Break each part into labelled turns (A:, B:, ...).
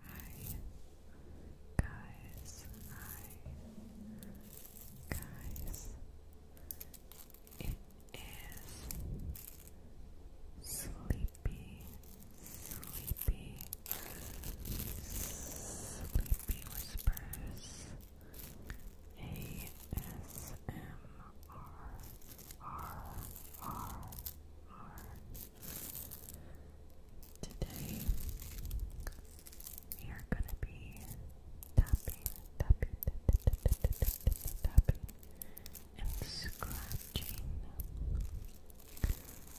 A: Hi guys, hi guys. It is sleepy, sleepy Sleepy Whispers ASMR. Today we are going to be tapping, tapping, and scratching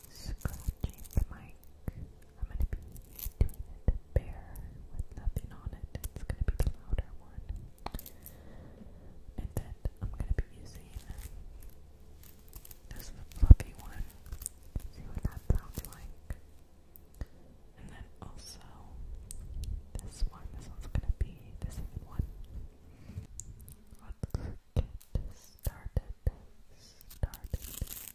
A: scratching the mic. I'm gonna be doing it bare with nothing on it. It's gonna be the louder one. And then I'm gonna be using this fluffy one. See what that sounds like. And then also this one. This one's gonna be the one. Let's get started. Started.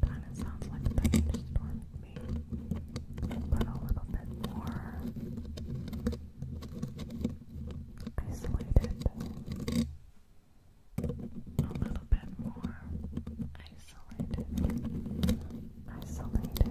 A: Kind of sounds like a thunderstorm me but a little bit more isolated. A little bit more isolated. Isolated.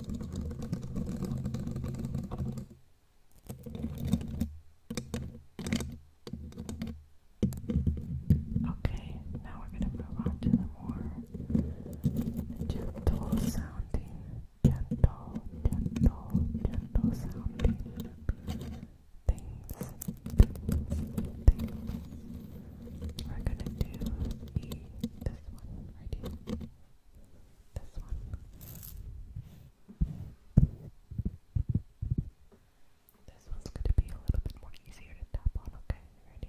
A: Okay, now we're going to move on to the more gentle sounding, gentle, gentle, gentle sounding things. We're going to do this one right here. This one. This one's going to be a little bit more easier to tap on, okay? Ready?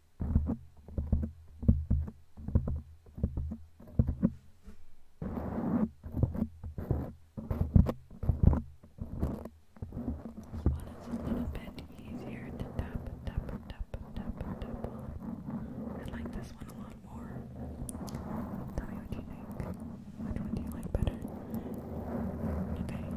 A: This one is a little bit easier to tap, tap, tap, tap, tap on. I like this one a lot more. Tell me what you think. Which one do you like better? Okay.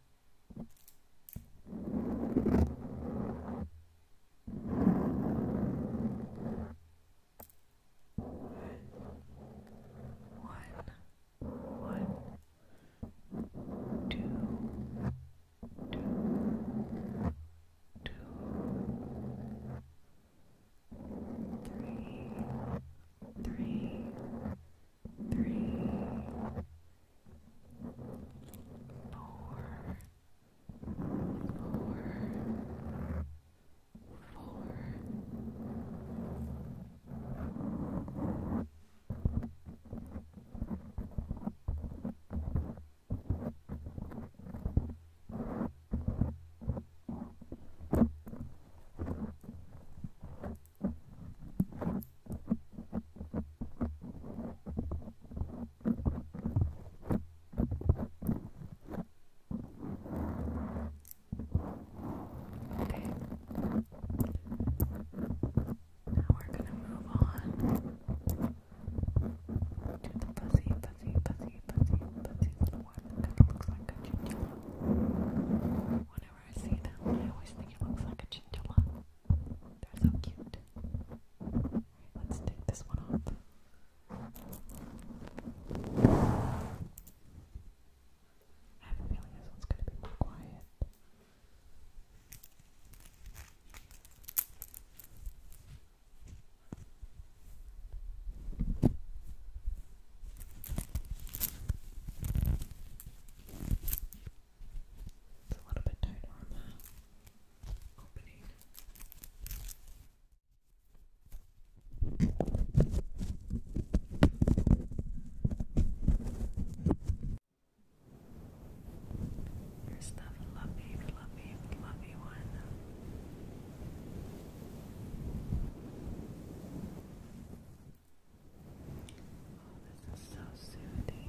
A: One, one, two, two, two, three, three, three, four, four, four. Five, Okay. Now we're gonna move on to the fuzzy, fuzzy, fuzzy, fuzzy, fuzzy little one. It kind of looks like a chinchilla. Whenever I see them, I always think it looks like a chinchilla. They're so cute. Let's take this one off. I have a feeling this one's gonna be more quiet. It's a little bit tight on the opening. Here's the fluffy, fluffy, fluffy one. Oh, this is so soothing.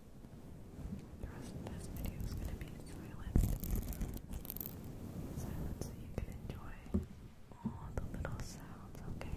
B: The rest of this video is going to be silent. so you can enjoy all the little sounds, Okay.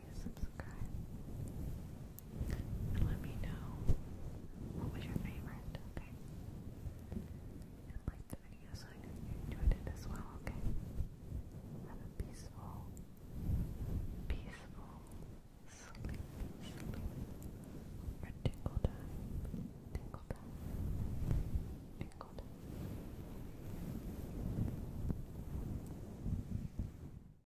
B: subscribe. let me know what was your favorite, okay? And like the video so I know you enjoyed it as well, okay? Have a peaceful, peaceful sleep, sleep, or time, tinkle time, tinkle time.